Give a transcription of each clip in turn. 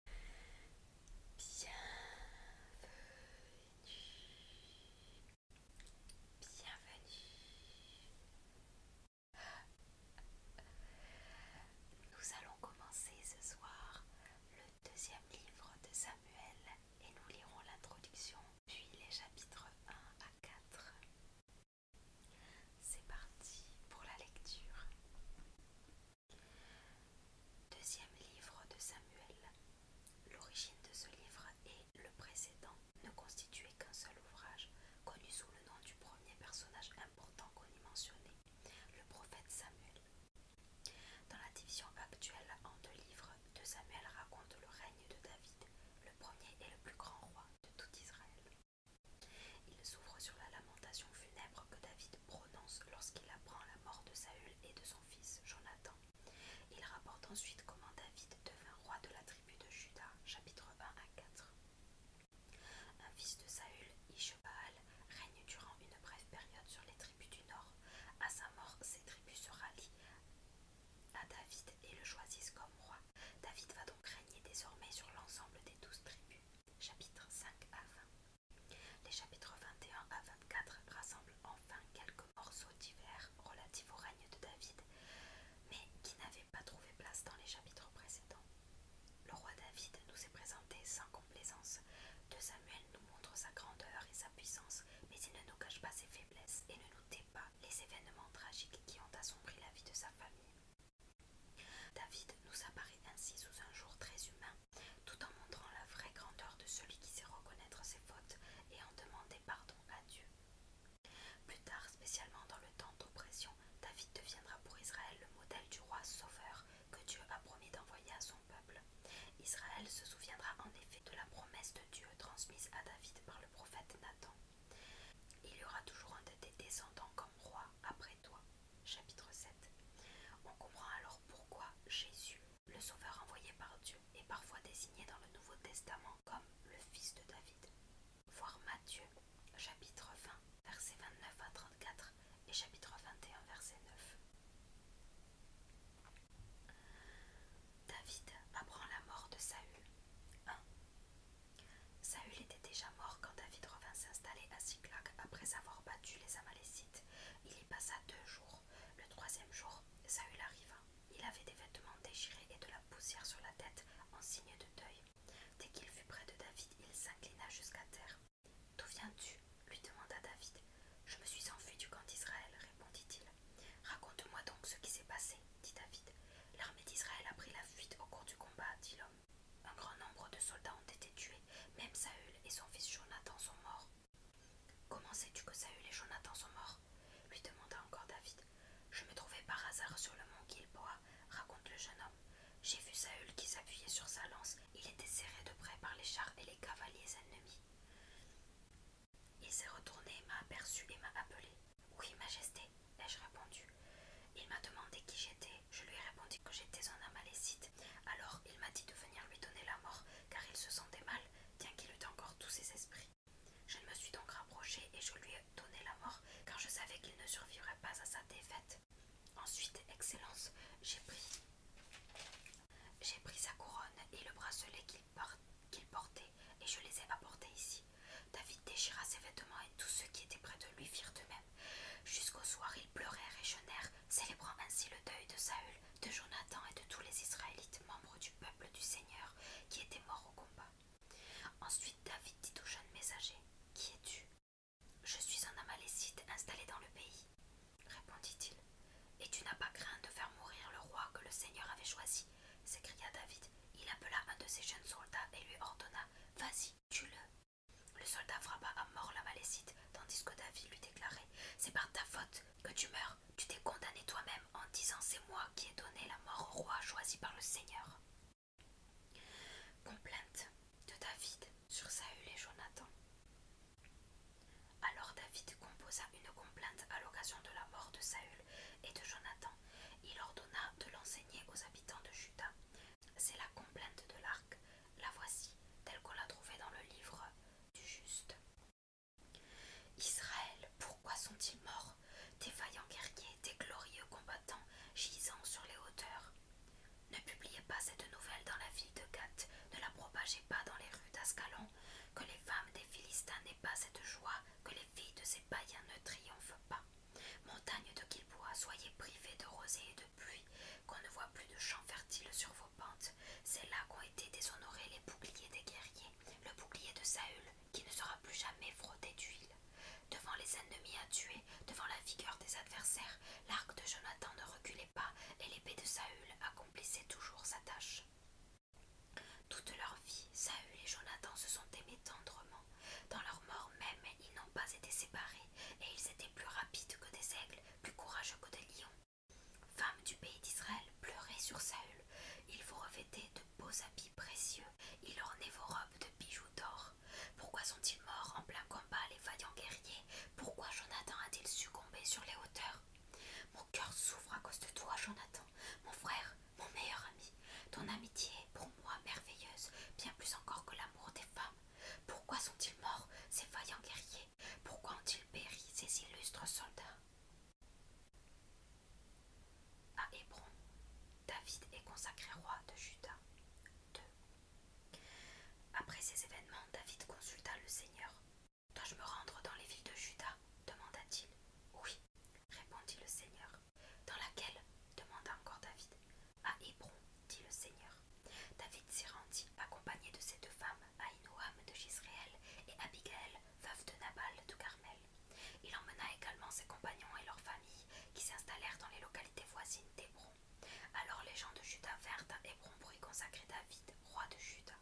bienvenue. Nous allons commencer ce soir le deuxième livre de Samuel et nous lirons l'introduction, puis les chapitres 1 à 4. C'est parti pour la lecture. Deuxième livre de Samuel. L'origine de ce livre et le précédent ne constituaient qu'un seul ouvrage, connu sous le nom du premier personnage important qu'on y mentionnait, le prophète Samuel. Dans la division actuelle en deux livres, de Samuel raconte le règne de David, le premier et le plus grand roi de tout Israël. Il s'ouvre sur la lamentation funèbre que David prononce lorsqu'il apprend la mort de Saül et de son fils Jonathan. Il rapporte ensuite comment David devint roi de la tribu de Juda, chapitre 1 à 4. Un fils de Saül, Ishbaal, règne durant une brève période sur les tribus du nord. À sa mort, ces tribus se rallient à David et le choisissent comme roi. David va donc régner désormais sur l'ensemble des douze tribus. Chapitre 5 à 20. Les chapitres 21 à 24 rassemblent enfin quelques morceaux divers relatifs au règne de David, mais qui n'avaient pas trouvé place dans les chapitres précédents. Le roi David nous est présenté sans complaisance. De Samuel nous montre sa grandeur et sa puissance, mais il ne nous cache pas ses faiblesses et ne nous pas les événements tragiques qui ont assombri la vie de sa famille. David nous apparaît ainsi sous un jour très humain tout en montrant la vraie grandeur de celui qui sait reconnaître ses fautes et en demander pardon à Dieu. Plus tard, spécialement dans le temps d'oppression, David deviendra pour Israël le modèle du roi sauveur que Dieu a promis d'envoyer à son peuple. Israël se souviendra en effet de la promesse de Dieu transmise à David par le prophète Nathan. Il y aura toujours un de tes descendants comme roi après toi. Chapitre 7 On comprend alors pourquoi Jésus, le sauveur envoyé par Dieu, est parfois désigné dans le Nouveau Testament comme le fils de David. Voir Matthieu, chapitre 20, versets 29 à 34 et chapitre 21, verset 9. David apprend la mort de Saül. 1. Saül était déjà mort quand David revint s'installer à Siklag après avoir battu les Amalécites. Il y passa deux jours. Le troisième jour, Saül arriva. Il avait des vêtements déchirés et de la poussière sur la tête en signe de deuil. Dès qu'il fut près de David, il s'inclina jusqu'à terre. D'où viens-tu lui demanda David. Je me suis enfui du camp d'Israël, répondit-il. Raconte-moi donc ce qui s'est passé, dit David. L'armée d'Israël a pris la fuite au cours du combat, dit l'homme. Un grand nombre de soldats ont été tués, même Saül et son fils Jonathan sont morts. Comment sais-tu que Saül et Jonathan sont morts lui demanda encore David. Je me trouvais par hasard sur le mont Gilboa, raconte le jeune homme. J'ai vu Saül qui s'appuyait sur sa lance, il était serré de près par les chars et les cavaliers ennemis. Il s'est retourné, m'a aperçu et m'a appelé. Oui, Majesté, ai-je répondu. Il m'a demandé qui j'étais je lui répondu que j'étais un amalécite. Alors il m'a dit de venir lui donner la mort, car il se sentait mal, bien qu'il eût encore tous ses esprits. Je me suis donc rapprochée et je lui ai donné la mort, car je savais qu'il ne survivrait pas à sa défaite. Ensuite, Excellence, j'ai pris, j'ai pris sa couronne et le bracelet qu'il portait, et je les ai apportés ici. David déchira ses vêtements et tous ceux qui étaient près de lui firent de même. Jusqu'au soir, ils pleurèrent et jeûnèrent, célébrant ainsi le deuil de Saül, de Jonathan et de tous les Israélites membres du peuple du Seigneur qui étaient morts au combat. Ensuite, David dit au jeune messager Qui es-tu Je suis un Amalécite installé dans le pays, répondit-il. Et tu n'as pas craint de faire mourir le roi que le Seigneur avait choisi s'écria David. Il appela un de ses jeunes soldats et lui ordonna Vas-y, tu le le soldat frappa à mort la malécite, tandis que David lui déclarait C'est par ta faute que tu meurs, tu t'es condamné toi-même en disant C'est moi qui ai donné la mort au roi choisi par le Seigneur. Complainte de David sur Saül et Jonathan. Alors David composa une complainte à l'occasion de la mort de Saül et de Jonathan. Il ordonna de l'enseigner aux habitants de Juda, c'est la complainte de l'arc, la voici, telle qu'on l'a trouvée dans le livre du juste. Israël, pourquoi sont-ils morts Tes vaillants guerriers, tes glorieux combattants, gisant sur les hauteurs. Ne publiez pas cette nouvelle dans la ville de Gath, ne la propagez pas dans les rues d'Ascalon, que les femmes des Philistins n'aient pas cette joie, que les filles de ces païens ne triomphent pas. Montagne de Quilbois, soyez privées de rosée et qu'on ne voit plus de champs fertiles sur vos pentes. C'est là qu'ont été déshonorés les boucliers des guerriers, le bouclier de Saül, qui ne sera plus jamais frotté d'huile. Devant les ennemis à tuer, devant la vigueur des adversaires, l'arc de Jonathan ne reculait pas et l'épée de Saül accomplissait toujours sa tâche. Toute leur vie, Saül et Jonathan se sont aimés tendrement. Dans leur mort même, ils n'ont pas été séparés, et ils étaient plus rapides que des aigles, plus courageux que des lions. Femmes du pays d'Israël, pleurez sur Saül. Il vous revêtait de beaux habits précieux, il ornait vos robes de bijoux d'or. Pourquoi sont-ils morts en plein combat, les vaillants guerriers Pourquoi Jonathan a-t-il succombé sur les hauteurs Mon cœur s'ouvre à cause de toi, Jonathan, mon frère, mon meilleur ami. Ton amitié est pour moi merveilleuse, bien plus encore que l'amour des femmes pourquoi sont-ils morts, ces vaillants guerriers Pourquoi ont-ils péri, ces illustres soldats À Hébron, David est consacré roi de Juda. Après ces événements, David consulta le Seigneur. Dois-je me rendre dans les villes de Juda demanda-t-il. Oui, répondit le Seigneur. Dans laquelle demanda encore David à Hébron, dit le Seigneur. David s'y rendit, accompagné de ses deux femmes, Ainoam de Jisraël et Abigaël, veuve de Nabal de Carmel. Il emmena également ses compagnons et leurs familles, qui s'installèrent dans les localités voisines d'Hébron. Alors les gens de Juda vinrent à Hébron pour y consacrer David, roi de Juda.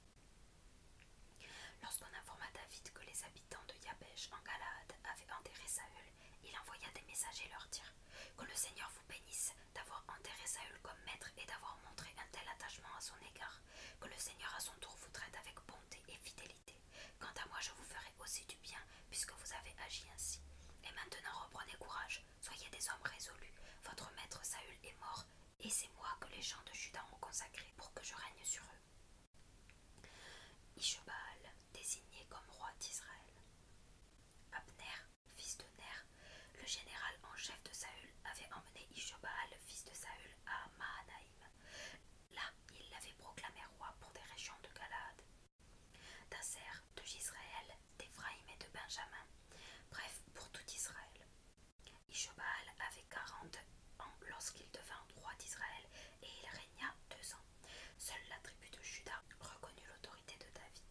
Lorsqu'on informa David que les habitants de Yabesh en Galaad avaient enterré Saül, il envoya des messagers leur dire Que le Seigneur vous bénisse d'avoir enterré Saül comme maître et d'avoir montré un tel attachement à son égard, que le Seigneur à son tour vous traite avec bonté et fidélité. Quant à moi, je vous ferai aussi du bien, puisque vous avez agi ainsi. Et maintenant reprenez courage, soyez des hommes résolus. Votre maître Saül est mort, et c'est moi que les gens de Juda ont consacré pour que je règne sur eux. Ishbal, désigné comme roi d'Israël. Abner, fils de Ner, le général en chef de Saül, avait emmené Ishobaal, fils de Saül, à Mahanaïm. Là, il l'avait proclamé roi pour des régions de Galade, d'Aser, de Gisraël, d'Éphraïm et de Benjamin, bref, pour tout Israël. Ishobal avait quarante ans lorsqu'il devint roi d'Israël et il régna deux ans. Seule la tribu de Juda reconnut l'autorité de David.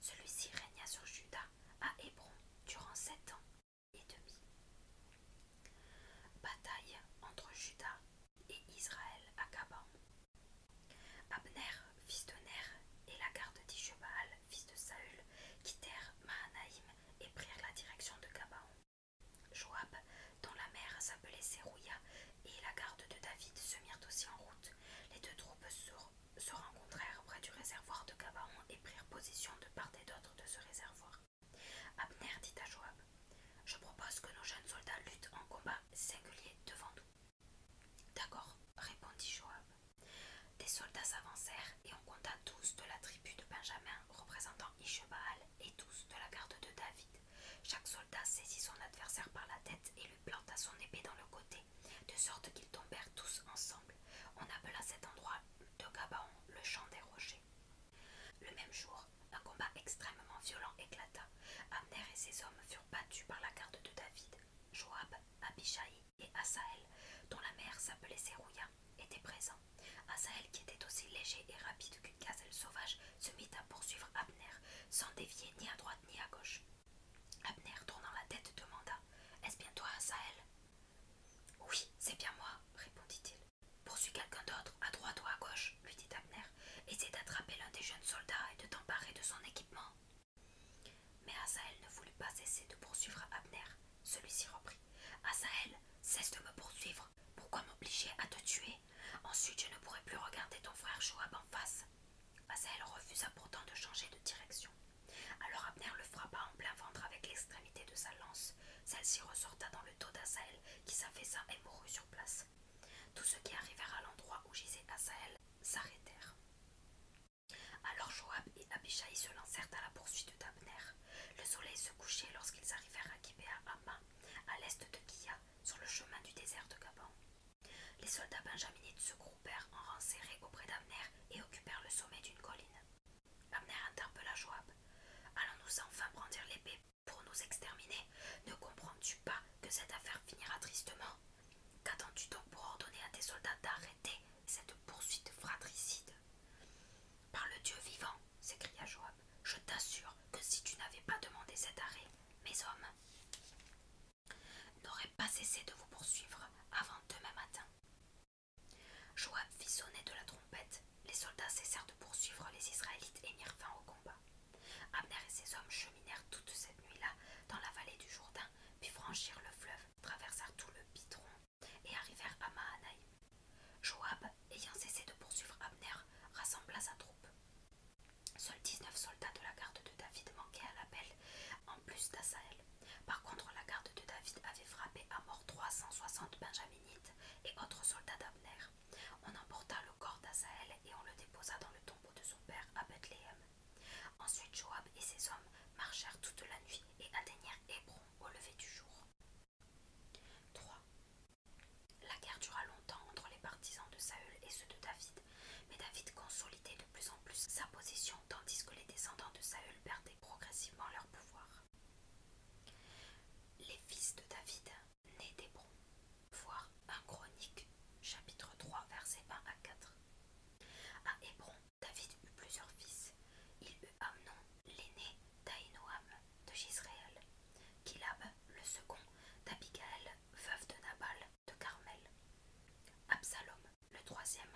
Celui-ci régna sur Juda à Hébron durant sept ans et demi. Bataille entre Juda et Israël à Gabaon. Abner, fils de Ner, et la garde d'Ishebaal, fils de Saül, quittèrent Mahanaïm et prirent la direction de Gabaon. Joab, dont la mère s'appelait Sérouia, et la garde de David se mirent aussi en route. Les deux troupes se rencontrèrent près du réservoir de Gabaon et prirent position de part et d'autre de ce réservoir. Abner dit à Joab Je propose que nos jeunes soldats luttent en combat singulier devant nous. D'accord, répondit Joab. Des soldats s'avancèrent et on compta tous de la tribu de Benjamin, représentant Ishbaal, et tous de la garde de David. Chaque soldat saisit son adversaire par la tête et planta son épée dans le côté, de sorte qu'ils tombèrent tous ensemble. On appela cet endroit de Gabaon le champ des rochers. Le même jour, un combat extrêmement violent éclata. Abner et ses hommes furent battus par la garde de David. Joab, Abishai et Asaël, dont la mère s'appelait Serouya, étaient présents. Asaël, qui était aussi léger et rapide qu'une gazelle sauvage, se mit à poursuivre Abner, sans dévier ni à droite ni à gauche. Abner, tournant la tête, demanda Est-ce bien toi, Asael ?»« Oui, c'est bien moi, répondit-il. Poursuis quelqu'un d'autre, à droite ou à gauche, lui dit Abner. Essaie d'attraper l'un des jeunes soldats et de t'emparer de son équipement. Mais Asael ne voulut pas cesser de poursuivre Abner. Celui-ci reprit Asael, cesse de me poursuivre. Pourquoi m'obliger à te tuer Ensuite, je ne pourrai plus regarder ton frère Joab en face. Asael bah, refusa pourtant de changer de direction. Alors Abner le frappa en plein ventre avec l'extrémité de sa lance. Celle-ci ressorta dans le dos d'Asael, qui s'affaissa et mourut sur place. Tous ceux qui arrivèrent à l'endroit où gisait Asael s'arrêtèrent. Alors Joab et Abishai se lancèrent à la poursuite d'Abner. Le soleil se couchait lorsqu'ils arrivèrent à Kibéa Amma, à l'est de Kia, sur le chemin du désert de Gaban. Les soldats benjaminites se groupèrent en rangs serrés auprès d'Amner et occupèrent le sommet d'une colline. Amner interpella Joab. Allons-nous enfin brandir l'épée pour nous exterminer Ne comprends-tu pas que cette affaire finira tristement Qu'attends-tu donc pour ordonner à tes soldats d'arrêter cette poursuite fratricide Par le Dieu vivant, s'écria Joab, je t'assure que si tu n'avais pas demandé cet arrêt, mes hommes n'aurait pas cessé de vous poursuivre avant demain matin. Joab fit sonner de la trompette. Les soldats cessèrent de poursuivre les Israélites et mirent fin au combat. Abner et ses hommes cheminèrent toute cette nuit-là dans la vallée du Jourdain, puis franchirent le fleuve, traversèrent tout le Pitron et arrivèrent à Mahanaï. Joab, ayant cessé de poursuivre Abner, rassembla sa troupe. Seuls 19 soldats de la garde de David manquaient à l'appel, en plus d'Asaël. Par contre, la garde de David avait frappé à mort 360 benjaminites et autres soldats d'Abner. On emporta le corps d'Asaël et on le déposa dans le tombeau de son père à Bethléem. Ensuite, Joab et ses hommes marchèrent toute la nuit et atteignirent Hébron au lever du jour. 3. La guerre dura longtemps entre les partisans de Saül et ceux de David, mais David consolidait de plus plus sa position, tandis que les descendants de Saül perdaient progressivement leur pouvoir. Les fils de David, nés d'Hébron. Voir 1 Chronique, chapitre 3, versets 1 à 4. À Hébron, David eut plusieurs fils. Il eut Amnon, l'aîné d'Ainoam de Gisraël, Kilab, le second d'Abigaël, veuve de Nabal, de Carmel. Absalom, le troisième,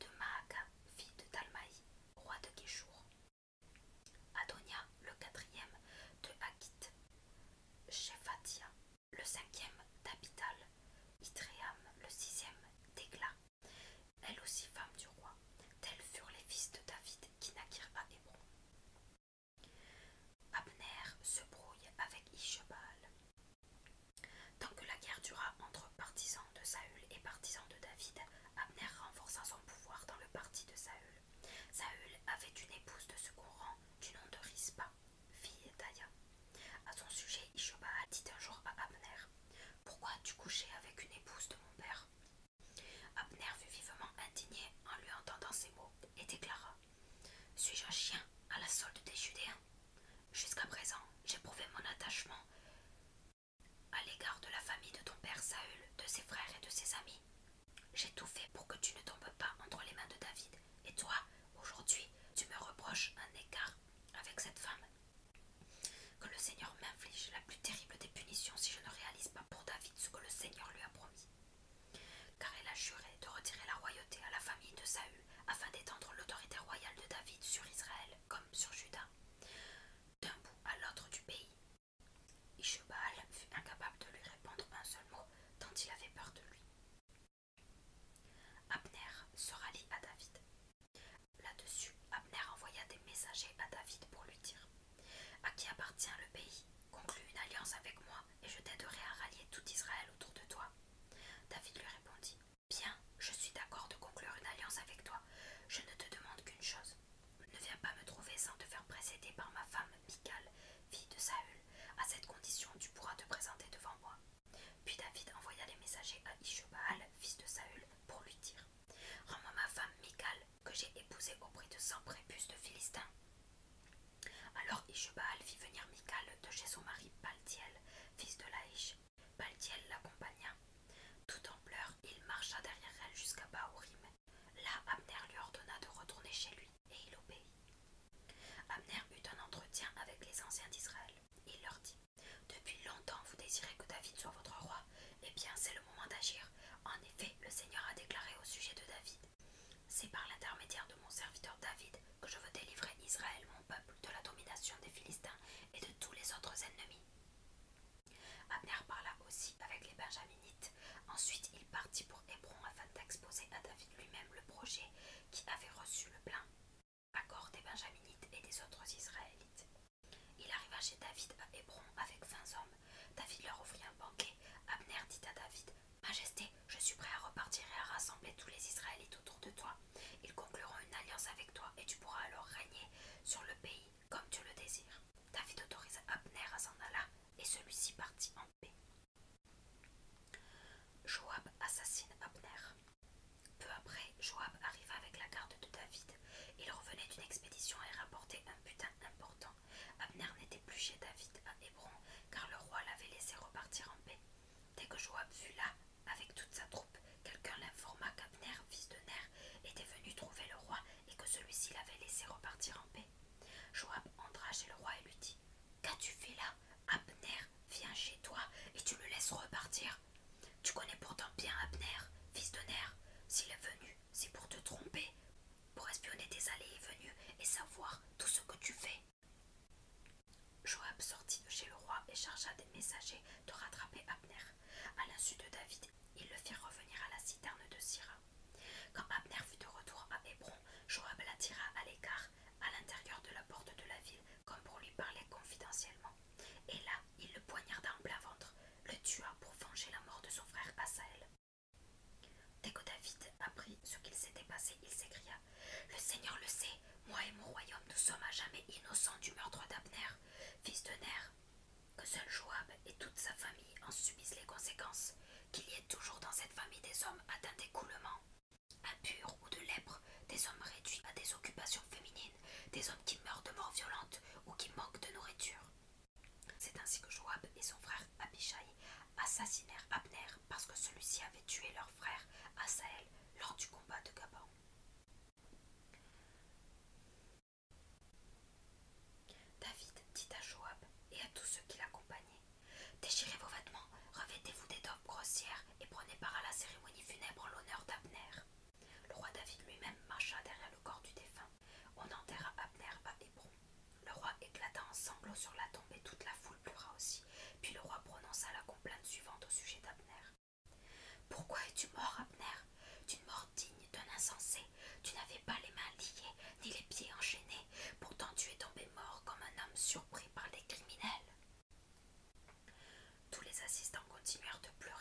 de Maaka, fille de Talmaï, roi de Guéchour. Adonia, le quatrième, de Akit. Shephatia, le cinquième, d'Abital. Itréam, le sixième, d'Egla. Elle aussi femme du roi. Tels furent les fils de David qui naquirent à Hébron. Abner se brouille avec Ishbal. Tant que la guerre dura entre partisans de Saül et partisans de David, Abner renforça son pouvoir dans le parti de Saül. Saül avait une épouse de ce courant du nom de Rispa, fille d'Aya. À son sujet, a dit un jour à Abner Pourquoi as-tu couché avec une épouse de mon père Abner fut vivement indigné en lui entendant ces mots et déclara Suis-je un chien à la solde des Judéens Jusqu'à présent, j'ai prouvé mon attachement à l'égard de la famille de ton père Saül, de ses frères et de ses amis. J'ai tout fait pour que tu ne tombes pas entre les mains de David. Et toi, aujourd'hui, tu me reproches un écart avec cette femme. Que le Seigneur m'inflige la plus terrible des punitions si je ne réalise pas pour David ce que le Seigneur lui a promis car elle a juré de retirer la royauté à la famille de Saül afin d'étendre l'autorité royale de David sur Israël comme sur Juda, d'un bout à l'autre du pays. Ishbal fut incapable de lui répondre un seul mot, tant il avait peur de lui. Abner se rallie à David. Là-dessus, Abner envoya des messagers à David pour lui dire À qui appartient le pays Conclue une alliance avec moi et je t'aiderai à rallier tout Israël autour de toi. David lui répondit Bien, je suis d'accord de conclure une alliance avec toi. Je ne te demande qu'une chose. Ne viens pas me trouver sans te faire précéder par ma femme, Michal, fille de Saül. À cette condition, tu pourras te présenter devant moi. Puis David envoya les messagers à Ishobaal, fils de Saül, pour lui dire Rends-moi ma femme, Michal, que j'ai épousée au prix de cent prépuces de Philistins. Alors Ishbaal fit venir Michal de chez son mari Paltiel, fils de Laïch. Paltiel l'accompagna. Tout en pleurs, il marcha derrière elle jusqu'à Baorim. Là, Abner lui ordonna de retourner chez lui, et il obéit. Abner eut un entretien avec les anciens d'Israël. Il leur dit Depuis longtemps, vous désirez que David soit votre roi. Eh bien, c'est le moment d'agir. En effet, le Seigneur a déclaré au sujet de David c'est par l'intermédiaire de mon serviteur David que je veux délivrer Israël, mon peuple, de la domination des Philistins et de tous les autres ennemis. Abner parla aussi avec les Benjaminites. Ensuite, il partit pour Hébron afin d'exposer à David lui-même le projet qui avait reçu le plein accord des Benjaminites et des autres Israélites. Il arriva chez David à Hébron avec vingt hommes. David leur offrit un banquet. Abner dit à David Majesté, je suis prêt à repartir et à rassembler tous les Israélites autour de toi. Ils concluront une alliance avec toi et tu pourras alors régner sur le pays comme tu le désires. David autorisa Abner à s'en aller et celui-ci partit en paix. Joab assassine Abner. Peu après, Joab arriva avec la garde de David. Il revenait d'une expédition et rapportait un butin important. Abner n'était plus chez David à Hébron car le roi l'avait laissé repartir en paix. Dès que Joab fut là, avec toute sa troupe, quelqu'un l'informa qu'Abner, fils de Ner, était venu trouver le roi et que celui-ci l'avait laissé repartir en paix. Joab entra chez le roi et lui dit Qu'as-tu fait là Abner vient chez toi et tu le laisses repartir. Tu connais pourtant bien Abner, fils de Ner. S'il est venu, c'est pour te tromper, pour espionner tes allées et venues et savoir tout ce que tu fais. Joab sortit de chez le roi et chargea des messagers de rattraper Abner. À l'insu de David, ils le firent revenir à la citerne de Syrah. Quand Abner fut de retour à Hébron, Joab l'attira à l'écart, à l'intérieur de la porte de la ville, comme pour lui parler confidentiellement. Et là, il le poignarda en plein ventre, le tua pour venger la mort de son frère Asaël. Dès que David apprit ce qu'il s'était passé, il s'écria le Seigneur le sait, moi et mon royaume, nous sommes à jamais innocents du meurtre d'Abner, fils de Ner. Que seul Joab et toute sa famille en subissent les conséquences, qu'il y ait toujours dans cette famille des hommes atteints d'écoulement, impurs ou de lèpre, des hommes réduits à des occupations féminines, des hommes qui meurent de mort violente ou qui manquent de nourriture. C'est ainsi que Joab et son frère Abishai assassinèrent Abner parce que celui-ci avait tué leur frère Asaël lors du combat de Gabon. David dit à Joab et à tous ceux qui l'accompagnaient Déchirez vos vêtements, revêtez-vous des robes grossières et prenez part à la cérémonie funèbre en l'honneur d'Abner. Le roi David lui-même marcha derrière le corps du défunt. On enterra Abner à Hébron. Le roi éclata en sanglots sur la tombe et toute la foule aussi, puis le roi prononça la complainte suivante au sujet d'Abner. Pourquoi es-tu mort, Abner D'une mort digne d'un insensé. Tu n'avais pas les mains liées, ni les pieds enchaînés. Pourtant, tu es tombé mort comme un homme surpris par des criminels. Tous les assistants continuèrent de pleurer.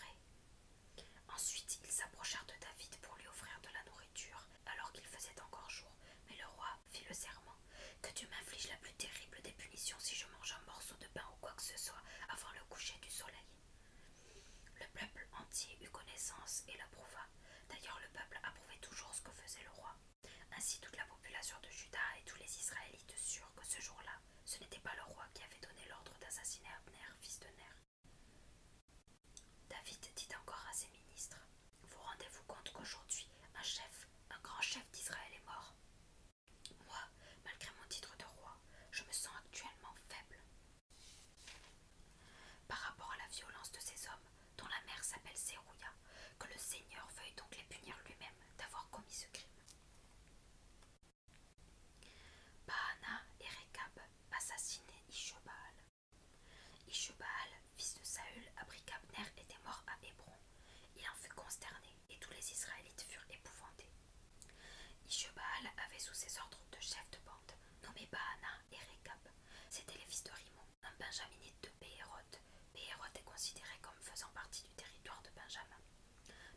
Ensuite, ils s'approchèrent de David pour lui offrir de la nourriture, alors qu'il faisait encore jour, mais le roi fit le serment, que tu m'infliges la plus terrible des punitions si je mange un morceau de pain ou quoi que ce soit avant le coucher du soleil. Le peuple entier eut connaissance et l'approuva. D'ailleurs, le peuple approuvait toujours ce que faisait le roi. Ainsi, toute la population de Juda et tous les Israélites surent que ce jour-là, ce n'était pas le roi qui avait donné l'ordre d'assassiner Abner, fils de Ner. David dit encore à ses ministres vous rendez-vous compte qu'aujourd'hui, un chef, un grand chef d'Israël est mort Moi, malgré mon titre de roi, je me sens actuellement faible. Par rapport à la violence de ces hommes, dont la mère s'appelle Sérouya, que le Seigneur veuille donc les punir lui-même d'avoir commis ce crime. Baana et Rekab assassinaient fils de Saül, apprit qu'Abner était mort à Hébron. Il en fut consterné, et tous les Israélites furent épouvantés. Ishebaal avait sous ses ordres deux chefs de bande, nommés Baana et Rekab. C'étaient les fils de Rimon, un benjaminite de Béhéroth. Béhéroth est considéré comme faisant partie du territoire de Benjamin.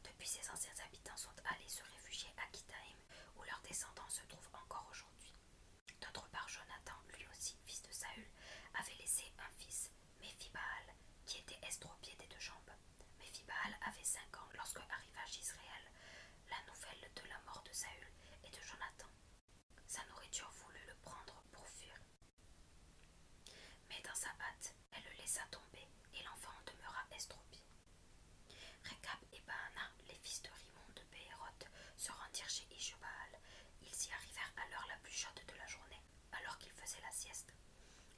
Depuis, ses anciens habitants sont allés se réfugier à Kitaim, où leurs descendants se trouvent encore aujourd'hui. D'autre part, Jonathan, lui aussi, fils de Saül, avait laissé un fils, Méphibal, qui était estropié des deux jambes. Méphibal avait cinq ans lorsque arriva Israël la nouvelle de la mort de Saül et de Jonathan. Sa nourriture voulut le prendre pour fuir. Mais dans sa hâte, elle le laissa tomber et l'enfant demeura estropié. Récap et Baana, les fils de Rimon de Béhéroth, se rendirent chez Ishubaal. Ils y arrivèrent à l'heure la plus chaude de la journée alors qu'ils faisaient la sieste.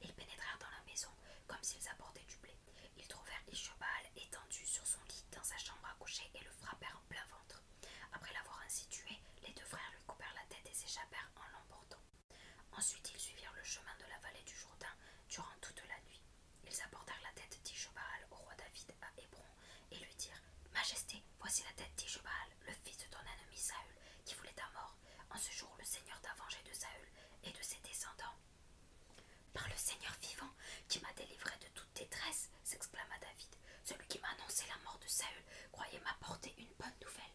Ils pénétrèrent dans la maison comme s'ils apportaient du blé. Ils trouvèrent Ishobal étendu sur son lit dans sa chambre à coucher et le frappèrent en plein ventre. Après l'avoir ainsi tué, les deux frères lui coupèrent la tête et s'échappèrent en l'emportant. Ensuite, ils suivirent le chemin de la vallée du Jourdain durant toute la nuit. Ils apportèrent la tête d'Ishobal au roi David à Hébron et lui dirent Majesté, voici la tête d'Ishbal, le fils de ton ennemi Saül, qui voulait ta mort. En ce jour, le Seigneur t'a vengé de Saül et de ses descendants. Par le Seigneur vivant, qui m'a délivré de toute détresse, s'exclama David. Celui qui m'a annoncé la mort de Saül croyait m'apporter une bonne nouvelle.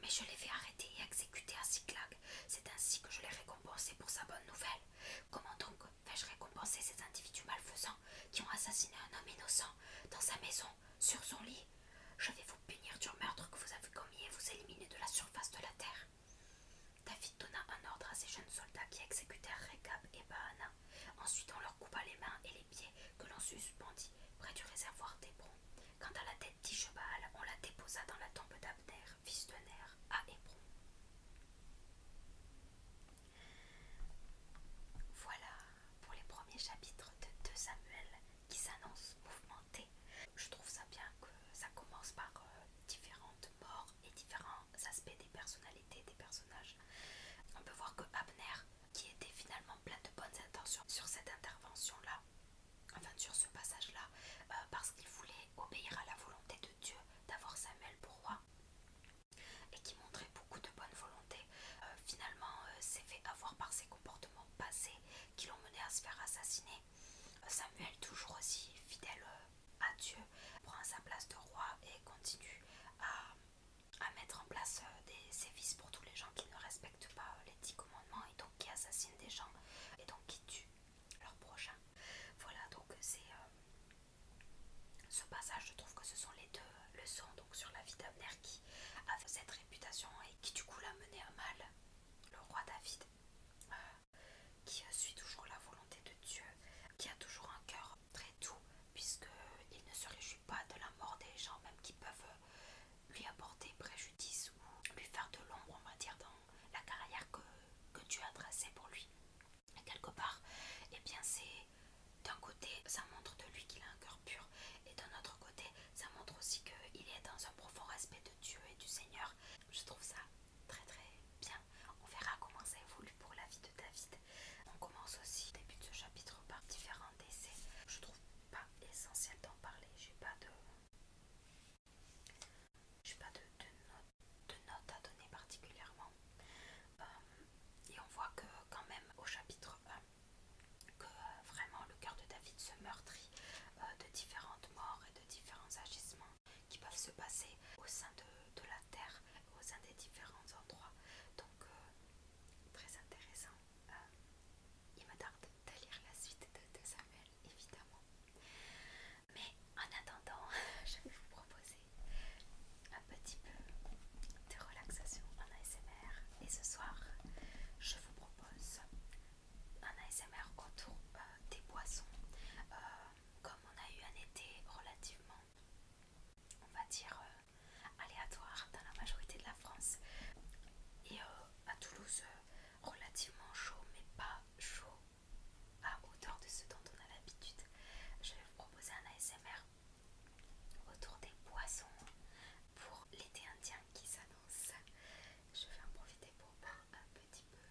Mais je l'ai fait arrêter et exécuter à Cyclag. C'est ainsi que je l'ai récompensé pour sa bonne nouvelle. Comment donc vais-je récompenser ces individus malfaisants qui ont assassiné un homme innocent dans sa maison, sur son lit je vais vous punir du meurtre que vous avez commis et vous éliminer de la surface de la terre. David donna un ordre à ses jeunes soldats qui exécutèrent Rekab et Baana. Ensuite, on leur coupa les mains et les pieds que l'on suspendit près du réservoir d'Hébron. Quant à la tête d'Ishebal, on la déposa dans la tombe d'Abner, fils de Ner, à Hébron. Voilà, pour les premiers chapitres de, 2 Samuel qui s'annonce mouvementé. Je trouve ça bien que ça commence par euh, différentes morts et différents aspects des personnalités des personnages. On peut voir que Abner, qui était finalement plein de bonnes intentions sur cette intervention-là, enfin sur ce passage-là, euh, parce qu'il voulait obéir à la volonté de Dieu d'avoir Samuel pour roi, et qui montrait beaucoup de bonne volonté euh, finalement s'est euh, fait avoir par ses comportements passés qui l'ont mené à se faire assassiner. Euh, Samuel, toujours aussi fidèle à Dieu, prend sa place de roi et continue à, mettre en place des sévices pour tous les gens qui ne respectent pas les dix commandements et donc qui assassinent des gens et donc qui tuent leurs prochains. Voilà, donc c'est... ce passage, je trouve que ce sont les de donc sur la vie d'Abner qui avait cette réputation et qui du coup l'a mené à mal. Le roi David, euh, qui suit toujours la volonté de Dieu, qui a toujours un cœur très doux il ne se réjouit pas de la mort des gens même qui peuvent lui apporter préjudice ou lui faire de l'ombre on va dire dans la carrière que, que Dieu a tracée pour lui. quelque part, et eh bien c'est d'un côté ça montre de lui qu'il a un cœur pur et d'un autre côté ça montre aussi qu'il est dans un profond respect de Dieu et du Seigneur. Je trouve ça très très bien. On verra comment ça évolue pour la vie de David. On commence aussi au début de ce chapitre par différents décès. Je trouve pas essentiel d'en parler. J'ai pas de j'ai pas de, de, notes à donner particulièrement. Euh, et on voit que quand même au chapitre 1, que euh, vraiment le cœur de David se meurtrit euh, de différentes morts et de différents agissements qui peuvent se passer au sein de, la terre, au sein des différents endroits. Donc, euh, très intéressant. il me tarde de lire la suite de, de Samuel, évidemment. Mais en attendant, je vais vous proposer petit peu de relaxation en ASMR. Et ce soir, je vous propose un ASMR autour euh, des boissons. Euh, comme on a eu un été relativement, on va dire, euh, aléatoire dans la majorité de la France. Et à Toulouse, relativement chaud, mais pas chaud à hauteur de ce dont on a l'habitude. Je vais vous proposer un ASMR Autour des poissons pour l'été indien qui s'annonce. Je vais en profiter pour boire un petit peu.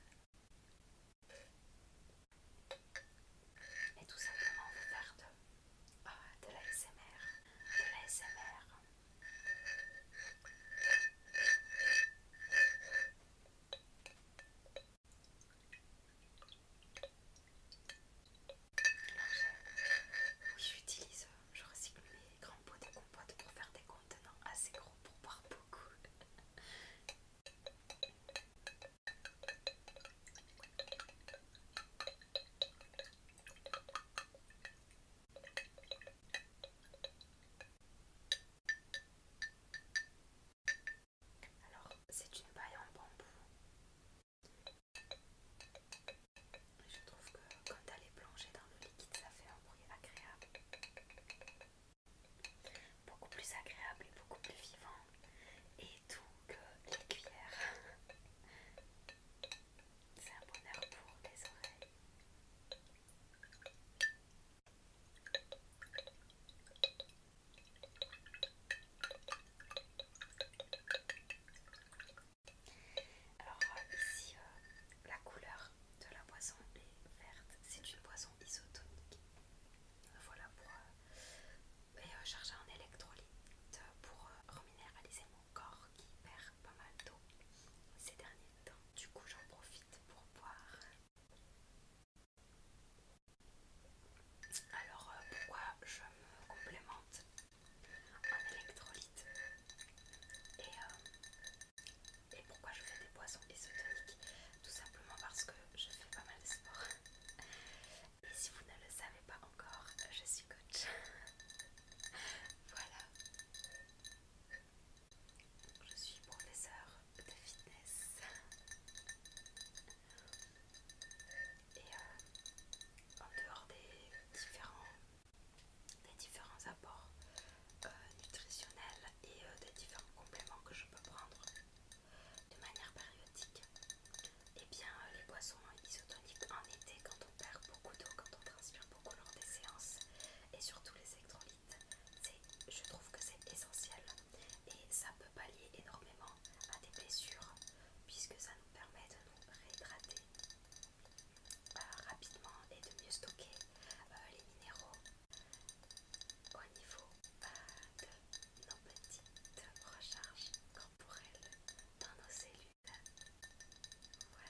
Et tout simplement vous faire de, ah, l'ASMR de la J'utilise, je recycle mes grands pots de compote pour faire des contenants assez gros pour boire beaucoup. Alors, c'est une paille en bambou je trouve que quand elle est plongée dans le liquide, ça fait un bruit agréable. Beaucoup plus agréable et beaucoup plus vivant. Et tout que les cuillères. C'est un bonheur pour les oreilles. Alors ici, euh, la couleur de la boisson est verte. C'est une boisson isotonique. Voilà pour... Euh, euh, charger et électrolyte en électrolytes pour reminéraliser mon corps qui perd pas mal d'eau ces derniers temps. Du coup, j'en profite pour boire. Alors, pourquoi je me complémente un électrolyte. Et, euh, et pourquoi je fais des boissons isotoniques Tout simplement parce que je fais pas mal de sport. Et si vous ne le savez pas encore, je suis coach. voilà. Je suis professeur de fitness et euh, en dehors des différents, apports euh, nutritionnels et euh, des différents compléments que je peux prendre de manière périodique, et eh bien les boissons isotoniques en été quand on perd beaucoup d'eau, quand on transpire beaucoup lors des séances et surtout les électrolytes, je trouve que c'est essentiel et ça peut pallier énormément à des blessures puisque ça nous permet de nous réhydrater euh, rapidement et de mieux stocker euh, les minéraux au niveau euh, de nos petites recharges corporelles dans nos cellules. Voilà.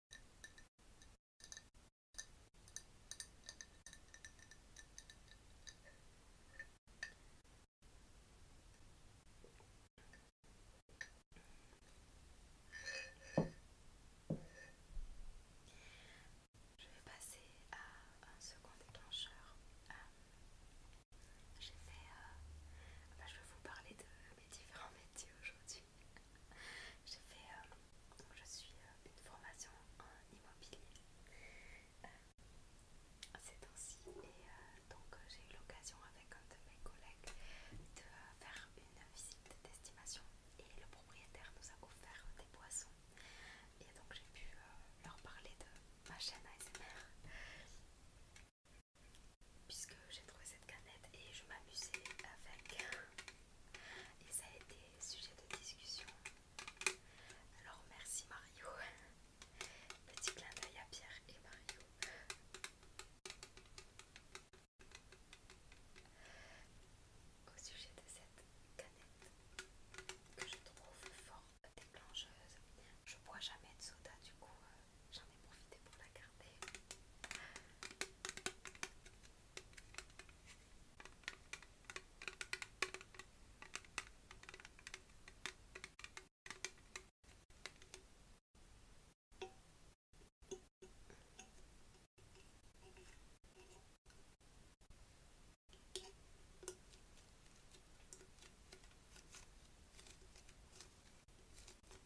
Je vais passer à un second déclencheur. Euh, j'ai fait. Euh, bah, je vais vous parler de mes différents métiers aujourd'hui. Euh, je suis euh, une formation en immobilier euh, ces temps-ci et donc j'ai eu l'occasion avec un de mes collègues de faire une visite d'estimation et le propriétaire nous a offert des boissons et donc j'ai pu leur parler de ma chaîne ASMR puisque j'ai trouvé cette canette et je m'amusais avec et ça a été sujet de discussion alors merci Mario petit clin d'œil à Pierre et Mario au sujet de cette canette que je trouve forte et je bois jamais de soda du coup euh, j'en ai profité pour la garder.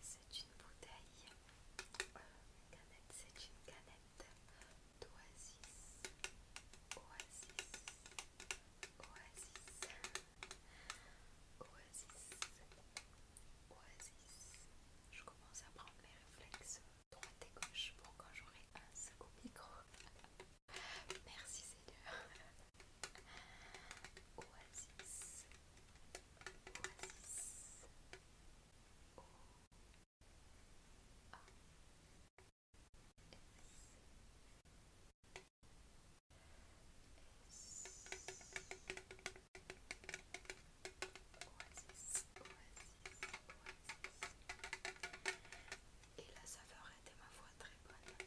C'est une bouteille, euh, c'est une canette d'Oasis, Oasis, Oasis, Oasis, Oasis. Je commence à prendre mes réflexes droite et gauche pour quand j'aurai un second micro. Merci Seigneur. Oasis. Oasis. oasis, A. S. S. Oasis. Oasis. Oasis. Et la saveur était ma foi très bonne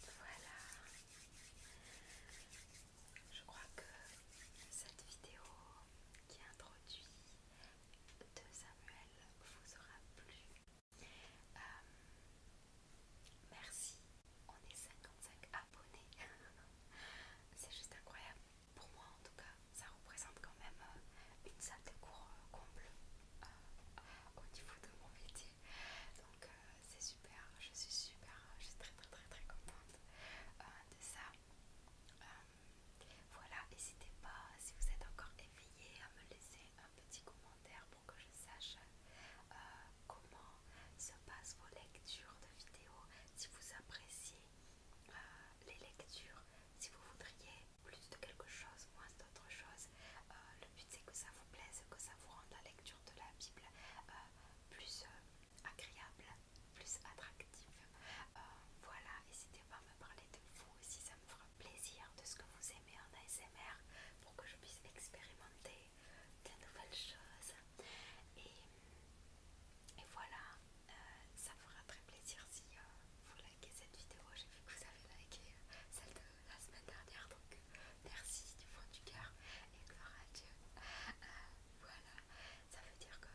Voilà. Je crois que cette vidéo qui introduit de Samuel vous aura plu. Euh, merci. On est 55 cinq C'est juste incroyable. Pour moi en tout cas, ça représente quand même euh, une salle de cours euh, comble euh, au niveau de mon métier. Donc c'est super, je suis super, je suis très très très très contente de ça. voilà, n'hésitez pas, si vous êtes encore éveillé, à me laisser un petit commentaire pour que je sache comment se passent vos lectures de vidéos, si vous appréciez euh, les lectures, si vous voudriez plus de quelque chose, moins d'autre chose. Euh, le but c'est que ça vous plaise, que ça vous rende la lecture de la Bible euh, plus agréable, plus attractive. voilà, n'hésitez pas à me parler de vous si ça me fera plaisir, de ce que vous aimez en ASMR pour que je puisse expérimenter de nouvelles choses. Et et voilà, euh, ça fera très plaisir si euh, vous likez cette vidéo. J'ai vu que vous avez liké euh, celle de la semaine dernière, donc merci du fond du cœur et gloire à Dieu. voilà, ça veut dire que,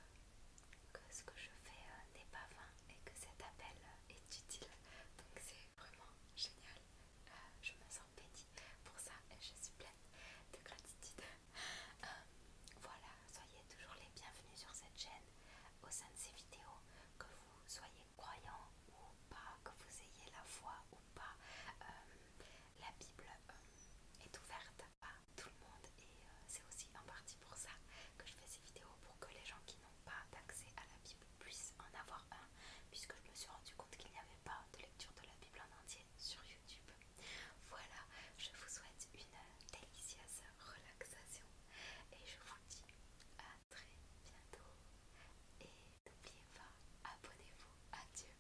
ce que je fais n'est pas vain et que cet appel est utile. Donc c'est vraiment génial. je me sens bénie pour ça, je suis pleine de gratitude. Euh, voilà, soyez toujours les bienvenus sur cette chaîne au sein de ces vidéos, que vous soyez croyant ou pas, que vous ayez la foi ou pas, euh, la Bible euh, est ouverte à tout le monde et c'est aussi en partie pour ça que je fais ces vidéos, pour que les gens qui n'ont pas d'accès à la Bible puissent en avoir un, puisque je me suis rendu compte qu'il n'y avait pas de lecture de la Bible en entier sur YouTube. Voilà, je vous souhaite une délicieuse relaxation et je vous dis à très bientôt. Et n'oubliez pas, abonnez-vous. Adieu.